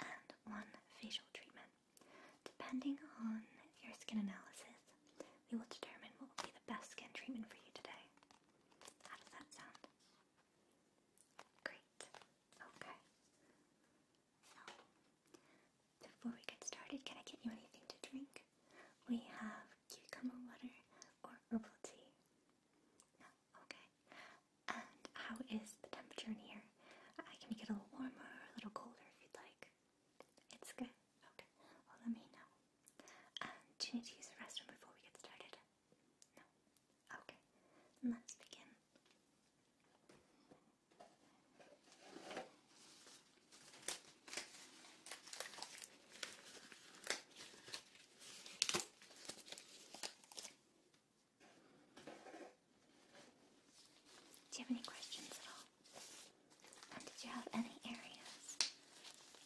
and one facial treatment. Depending on your skin analysis, we will determine what will be the best skin treatment for you today. How does that sound? Great. Okay. So, before we get started, can I get you anything to drink? We have cucumber water or herbal tea. No, Okay. And how is the temperature in here? I can make it a little warmer a little colder if you'd like. It's good. Okay. Well, let me know. do you need to use the restroom before we get started? No. Okay. let's begin. Do you have any questions at all? did you have any areas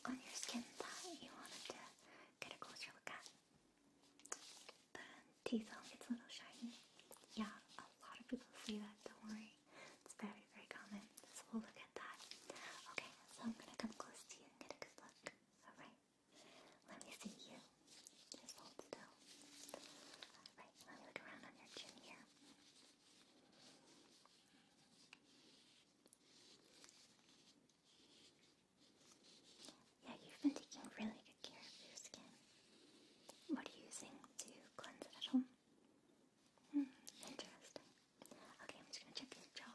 on your skin that you wanted to get a closer look at? The T zone gets a little shiny. Yeah, a lot of people see that, don't worry. It's very, very common. we'll look at that. Okay, so I'm gonna come close to you and get a good look. Alright. Let me see you. Just hold still. Alright, let me look around on your chin here. Yeah, you've been taking really good care of your skin. What are you using to cleanse at home? Hmm, interesting. Okay, I'm just gonna check your jaw.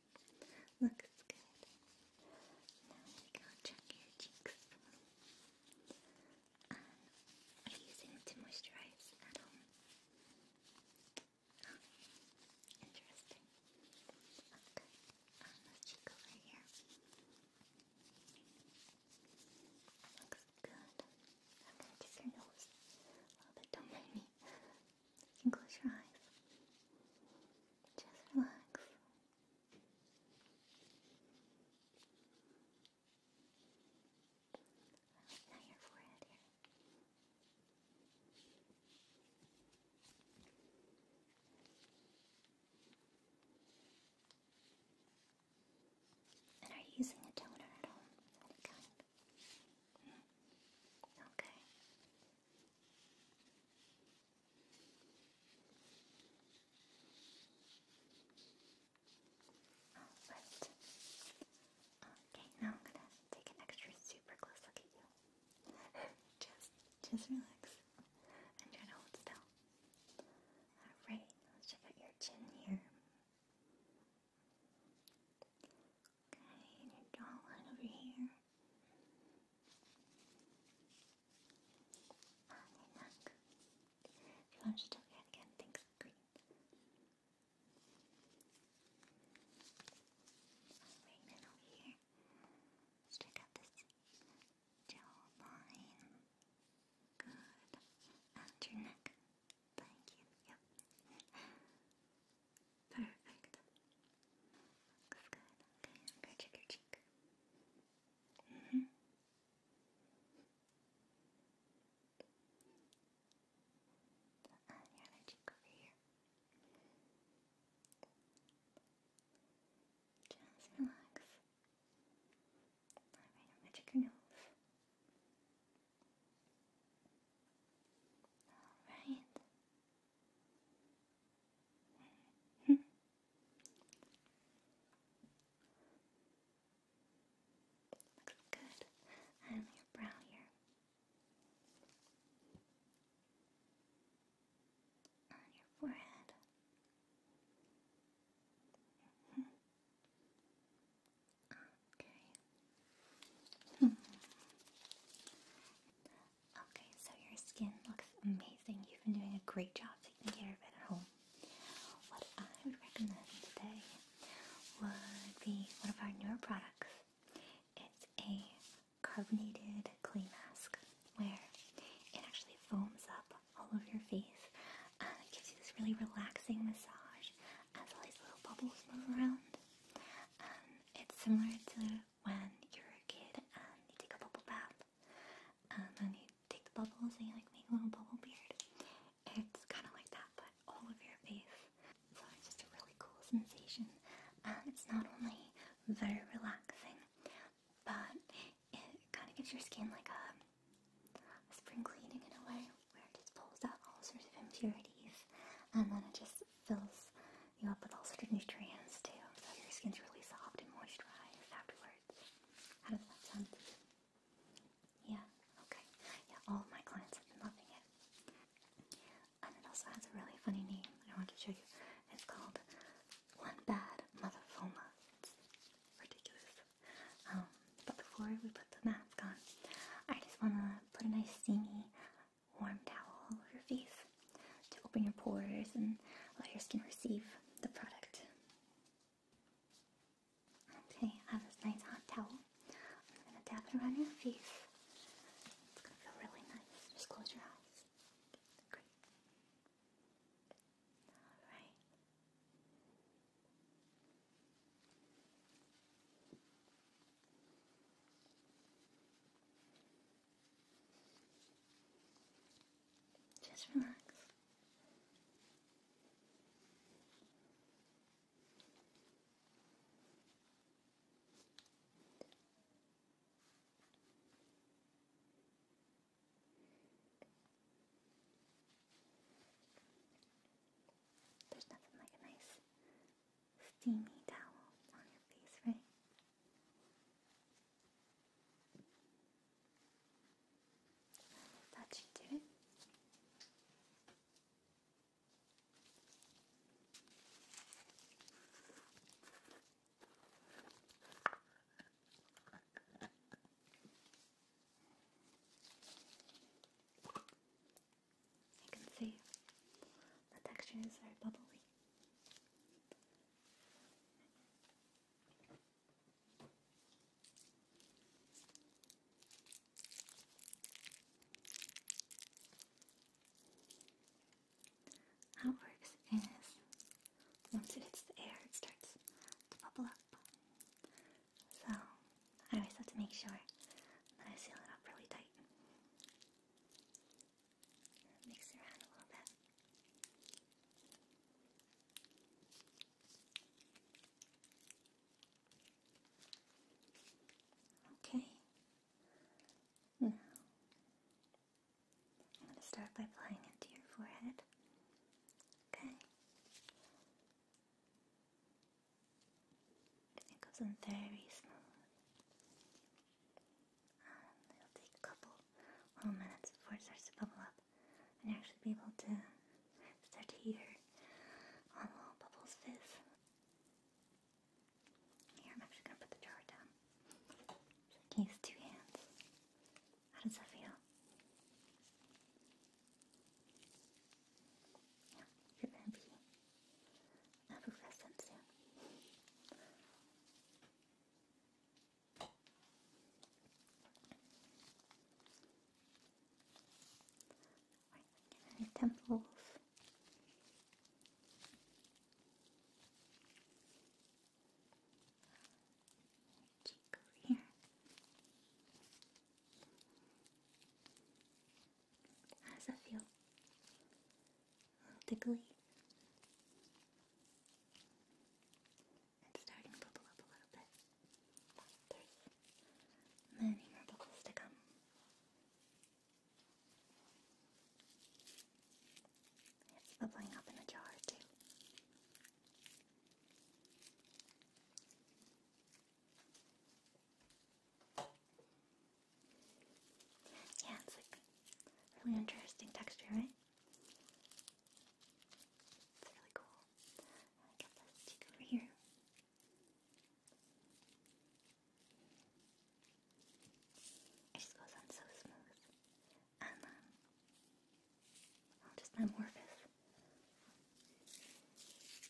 Looks good. Now we go check your cheeks. Um, are it to moisturize at home? Oh, interesting. Okay, um, let's cheek over here. Looks good. I'm your nose a little bit. Don't You can close your eyes. Just relax. Now your forehead here. And are you using a toner at all? Any Okay. Alright. Oh, okay, now I'm gonna take an extra super close look at you. just just relax. And try to hold still. Alright, let's check out your chin here. Okay, your jawline over here. Armlock. If you want to talk that again, thanks, Green. Alright, then over here. Let's check out this jawline. Good. And your neck. Thank you. Yep. Perfect. Looks good. Okay, I'm gonna check your cheek. Mm-hmm. On your other cheek over here. Just relax. Alright, I'm gonna check your nose. Alright. Looks good. And your brow here. On your forehead. Okay. Okay, so your skin looks amazing. You've been doing a great job taking care of it at home. What I would recommend today would be one of our newer products. It's a carbonated clay mask where it actually foams up all over your face and it gives you this really relaxing massage as all these little bubbles move around. Um, it's similar to when you're a kid and you take a bubble bath and then you take the bubbles and you like make a little bubble beard. It's kind of like that but all of your face. So it's just a really cool sensation and it's not only very relaxing but it kind of gives your skin like a, a spring cleaning in a way where it just pulls out all sorts of impurities and then it just fills you know, with all sorts of nutrients too, so your skin's really soft and moisturized afterwards. How does that sound? Yeah, okay. Yeah, all my clients have been loving it. And it also has a really funny name I want to show you. It's called One Bad Motherfoma. ridiculous. Um, but before we put the mask on, I just want to put a nice steamy warm towel over your face to open your pores and let your skin receive the product. Okay, I have this nice hot towel. I'm going to dab it around your face. It's going to feel really nice. Just close your eyes. Great. Alright. Just relax. There's nothing like a nice steamy towel on your face, right? That should it. You can see the texture is very bubbly. How it works is once it hits the air, it starts to bubble up. So I always have to make sure that I seal it up really tight. Mix around a little bit. Okay. I'm going to start by applying it to your forehead. Okay. It goes in very small. it'll take a couple little minutes before it starts to bubble up, and actually be able to start to hear all little bubbles fizz. Here, I'm actually gonna put the jar down. use two hands. How does that feel? Yeah, you're going effervescent soon. Right, any temples? here. How does that feel? A little tickly? It's starting to bubble up a little bit. There's many more bubbles to come. It's bubbling up in a jar too. Yeah, it's like really interesting texture, right? It's really cool. I got this cheek over here. It just goes on so smooth. And um, I'll just metamorphose.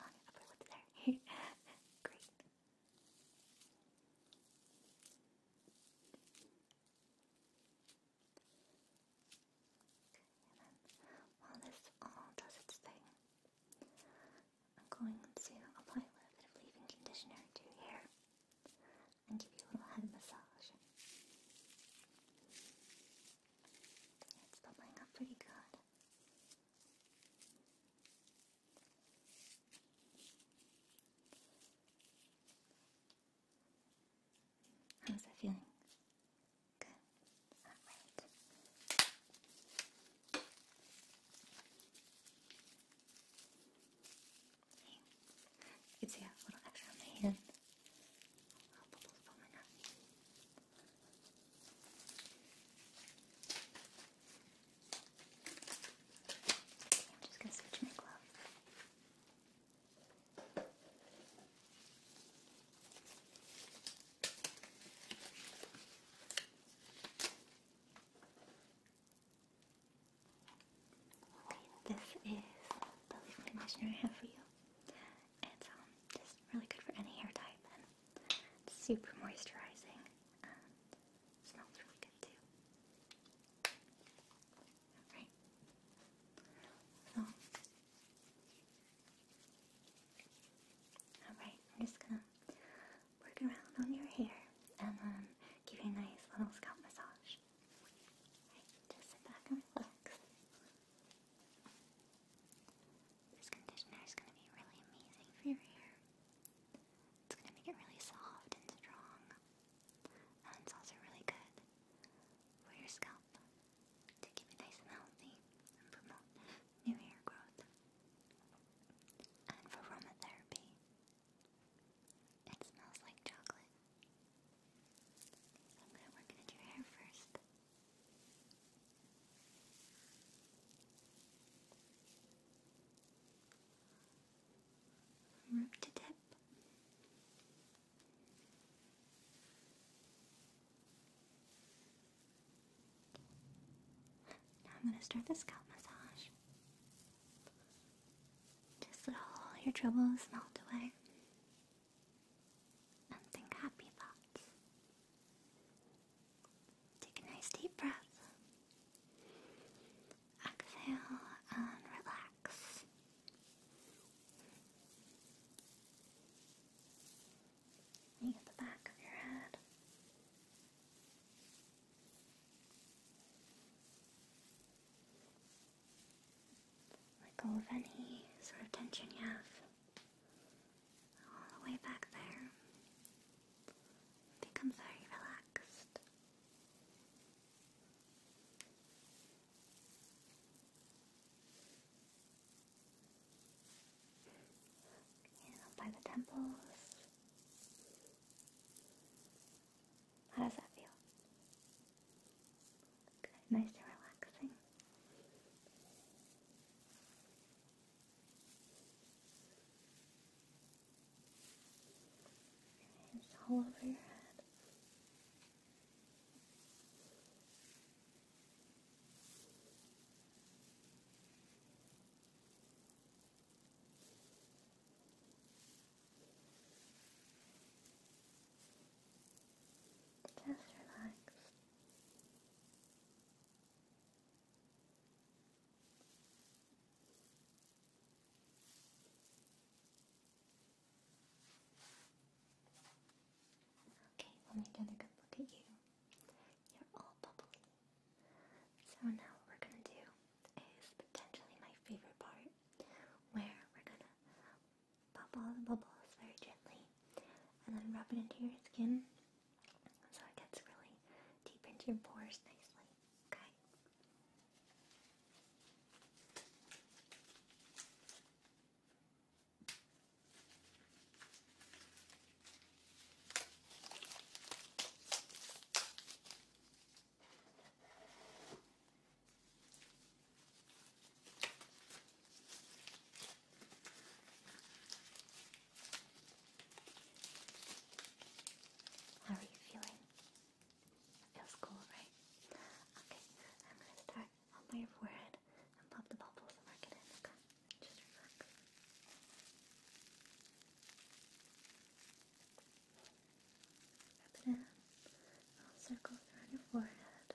on your upper lip there. Great. while this all does its thing, I'm going to apply a little bit of leave-in conditioner to your hair and give you a little head massage. It's bubbling up pretty good. How's that feeling? Good. All right. You can see a little extra on my hand. I'll pull those I'm just going to switch my glove. Okay, this is the leave conditioner I have for you. It's um just really good for any hair type it's super moisturizing uh, smells really good too. Alright. So Alright, I'm just gonna work around on your hair and um, give you a nice little scalp massage. just sit back and relax. This conditioner is going to be really amazing for your hair. It's going to make it really soft and strong. And it's also really good for your scalp to keep it nice and healthy and promote new hair growth. And for aromatherapy, it smells like chocolate. I'm going to work it your hair first. Root to tip. Now I'm going to start the scalp massage. Just let all your troubles melt away and think happy thoughts. Take a nice deep breath. Exhale and relax. Let go of any sort of tension you have all the way back there. Become very relaxed. You by the temples. How does that feel? Good, nice and relaxing. And it's all over your head. Just relax. Okay, let me get a good look at you. You're all bubbly. So now we're gonna do is potentially my favorite part, where we're gonna pop all the bubbles very gently and then rub it into your skin so it gets really deep into your pores nicely. Okay. How are you feeling? Feels cool, right? Okay, I'm gonna start on your forehead and pop the bubbles and mark it in, Just relax. Rub it in. All around your forehead.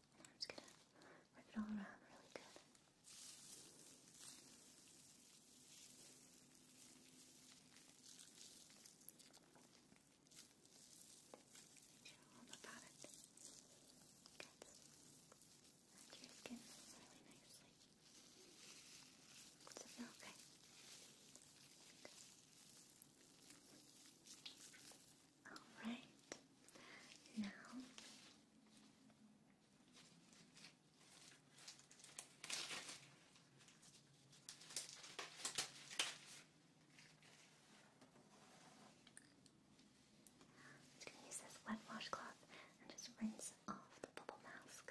I'm just gonna rip it all around really good. All about it. Good. And your skin really nicely. Does feel okay? Good. Alright, now i this wet washcloth and just rinse off the bubble mask.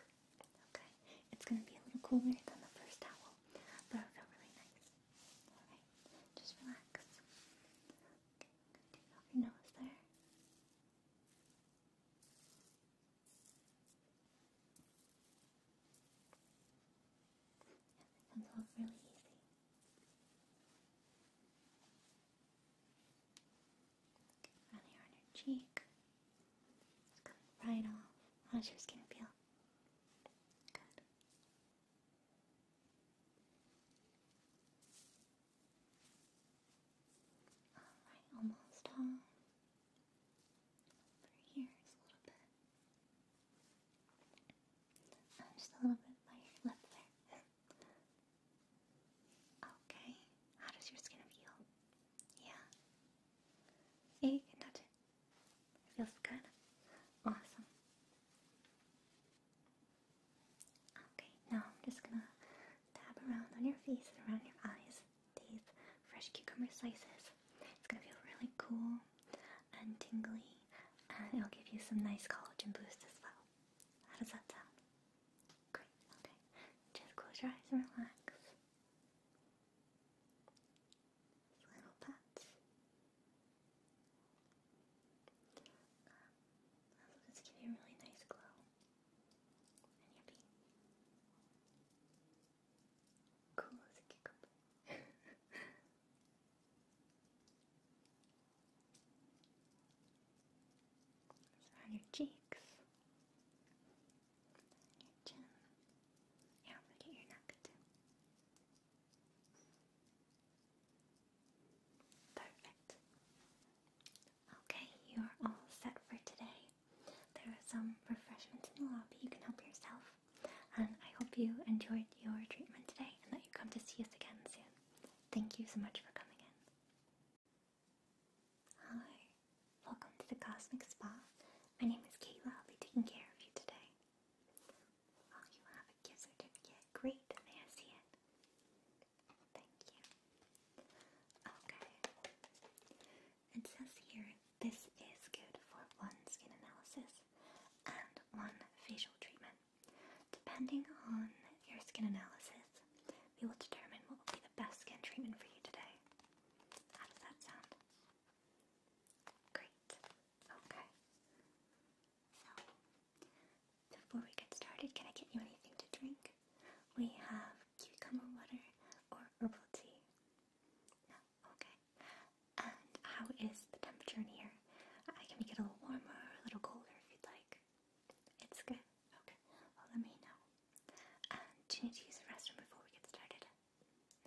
Okay, it's going to be a little cooler than the first towel, but it really nice. Alright, just relax. Take off your nose there. Yes, it comes off really easy. Okay, here on your cheek. It's coming right off. How's your skin feel? Good. Alright, almost all. Over here is a little bit. Uh, just a little bit by your lip there. okay, how does your skin feel? Yeah? Yeah, you It feels good. Awesome. Okay, now I'm just gonna dab around on your face and around your eyes these fresh cucumber slices. It's gonna feel really cool and tingly, and it'll give you some nice collagen boost as well. How does that sound? Great, okay. Just close your eyes and relax. little pats. Um, that'll just give you a really nice glow. cool as a cucumber. around your cheeks, your chin, yeah, forget your neck too. Perfect. Okay, you are all set for today. There are some refreshments in the lobby. You can help yourself. And I hope you enjoyed your treatment today and that you come to see us again soon. Thank you so much for coming in. Hi, welcome to the Cosmic Spa. My name is Kayla. I'll be taking care of you today. Oh, you have a gift certificate. Great, may Thank you. Okay. It says here this is good for one skin analysis and one facial treatment. Depending on your skin analysis, we will determine what will be the best skin treatment for you today. How does that sound? Great. Okay. So, before we get started, can I get you anything to drink? We have cucumber water or herbal tea. No? Okay. And how is the temperature in here? I can make it a little warmer or a little colder if you'd like. It's good? Okay. Well, let me know. do you need to use the restroom before we get started?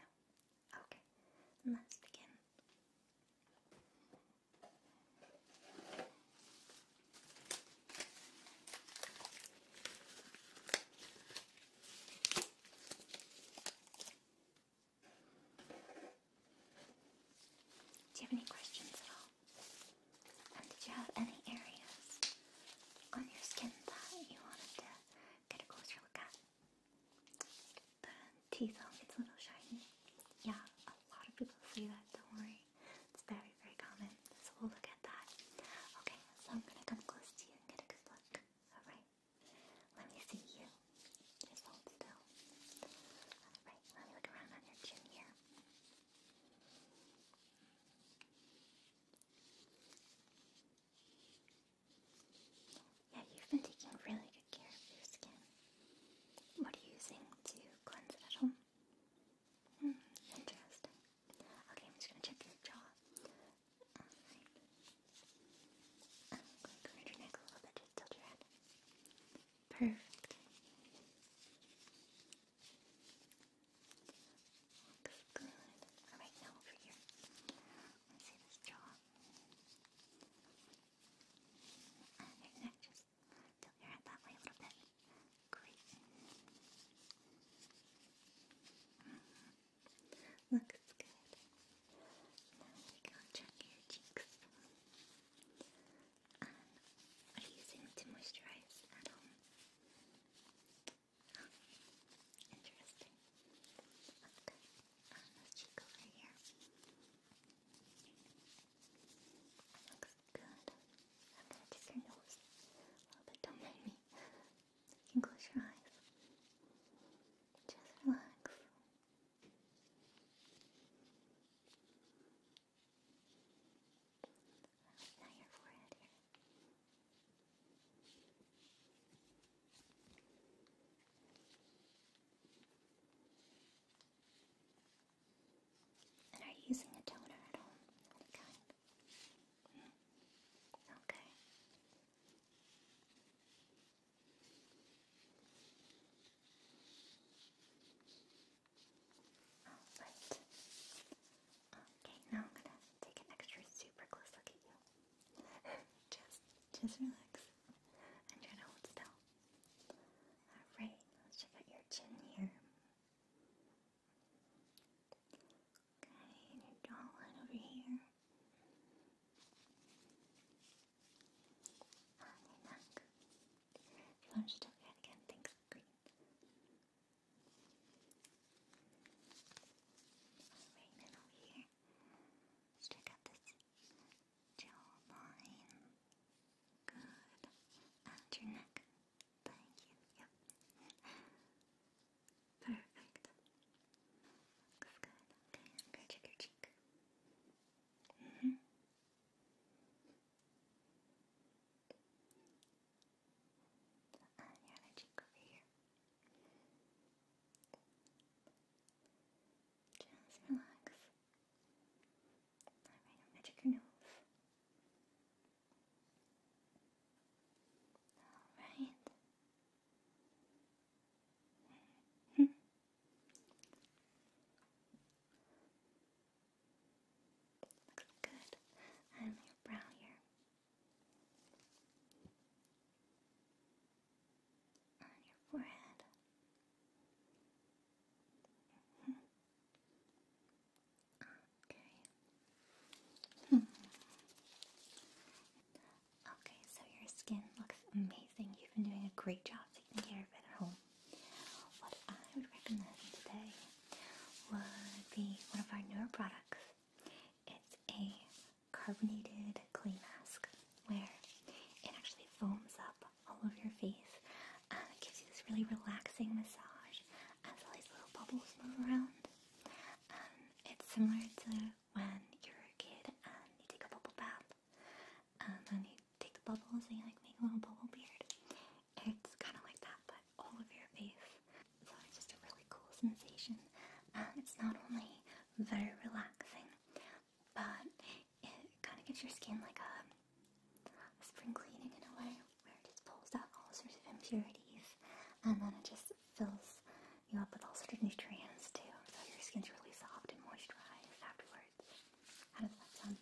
No? Okay. Let's begin do you have any questions at all? And did you have any areas on your skin that you wanted to get a closer look at? The teeth all get a little shiny. Yeah, a lot of people say that, don't worry. It's very, very common. So we'll look at that. Okay, so I'm gonna come close to you and get a good look. Alright. Let me see you. Just hold still. Alright, let me look around on your chin here. Yeah, you've been taking really good care of your skin. What are you using to cleanse it at home? Hmm, interesting. Okay, I'm just gonna check your jaw. Alright. I'm going to around your neck a little bit, just tilt your head. Perfect. Alright, now over here. Let see this jaw. And your neck, just tilt your head that way a little bit. Great. Mm-hmm. Looks good. Now go check your cheeks. are you using it to moisturize at home? interesting. Okay this cheek over here. Looks good. I'm gonna check your nose a little bit, don't mind me. You can close your eyes. Just relax. Now your forehead here. And are you using a toner at all? Any Okay. Alright. Okay, now I'm gonna take an extra super close look at you. just, just relax. I'm to hold still. Alright, let's check out your chin here. Okay, your jawline over here. On your neck. If you want to just look again, thanks, green. Alright, over here check out this jawline. Good. And your neck. Thank you. Yep. Perfect. good. Okay, check your cheek. Mm-hmm. And your cheek over here. Just relax. Alright, i your nose. Alright. Looks good. And your brow here on your forehead. Mm-hmm. Okay. Hmm. Okay, so your skin looks amazing. You've been doing a great job taking care of it at home. What I would recommend today would be one of our newer products. It's a carbonated clay mask where it actually foams up all over your face and uh, it gives you this really relaxing massage as these little bubbles move around. Um, it's similar to when you're a kid and you take a bubble bath and um, you take the bubbles and you like make a little bubble beard. It's kind of like that but all over your face so it's just a really cool sensation. Um, it's not only very relaxing, but it kind of gives your skin like a, a spring cleaning in a way, where it just pulls out all sorts of impurities, and then it just fills you up with all sorts of nutrients too, so your skin's really soft and moisturized afterwards. How does that sound?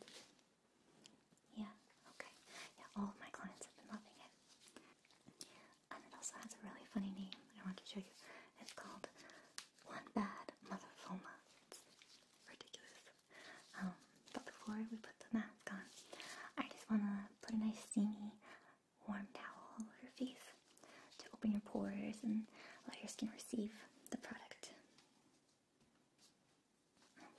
Yeah, okay. Yeah, all of my clients have been loving it and it also has a really funny name I want to show you. It's called One Bad Motherfoma. It's ridiculous. Um, but before we put the mask on, I just want to put a nice steamy warm towel over your face to open your pores and let your skin receive the product.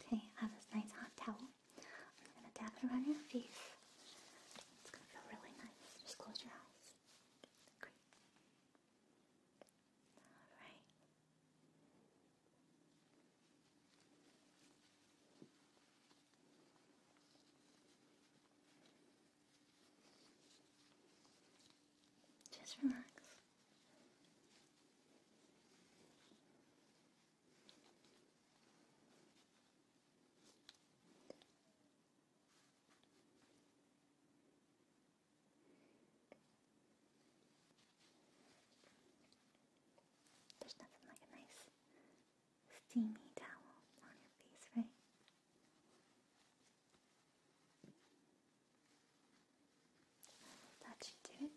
Okay, I have this nice hot towel. I'm going to dab it around your face. It's gonna feel really nice. Just close your eyes. Great. Alright. Just relax. There's nothing like a nice steamy towel on your face, right? Touch it to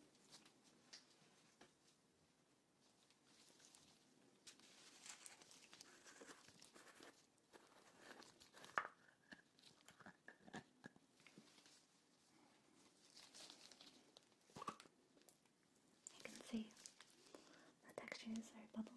you can see the textures are bubbly.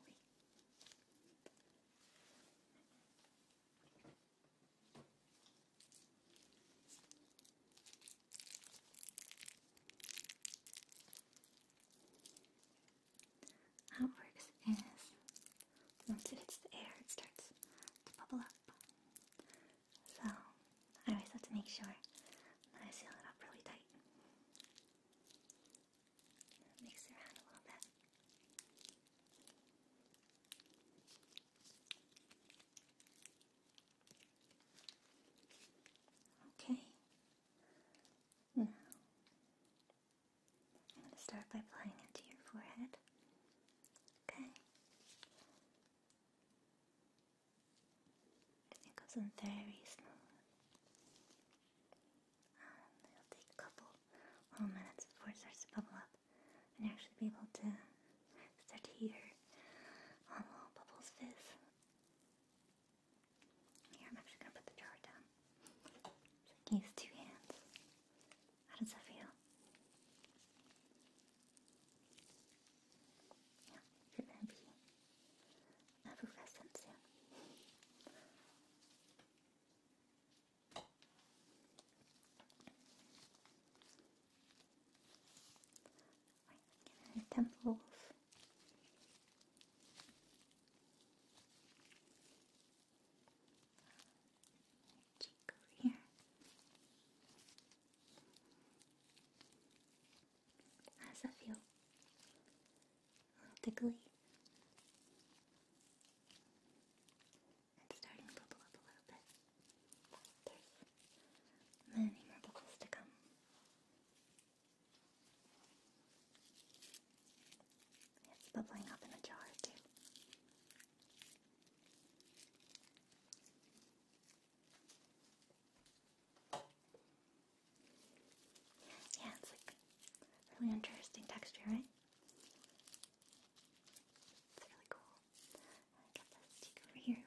How it works is once it hits the air, it starts to bubble up. So I always have to make sure that I seal it up really tight. Mix around a little bit. Okay, now, hmm. I'm going to start by applying it to your forehead. Okay. It goes in very smooth. Um, it'll take a couple minutes before it starts to bubble up, and actually be able to start to hear all bubbles fizz. Here, I'm actually gonna put the jar down. use two hands. How does that feel? Yeah, you're gonna be effervescent soon temple of cheek over here. How does that A little tickly. It's starting to bubble up a little bit. There's many more bubbles to come. It's bubbling up in a jar, too. Yeah, it's like really interesting texture, right? It's really cool. I got this stick over here.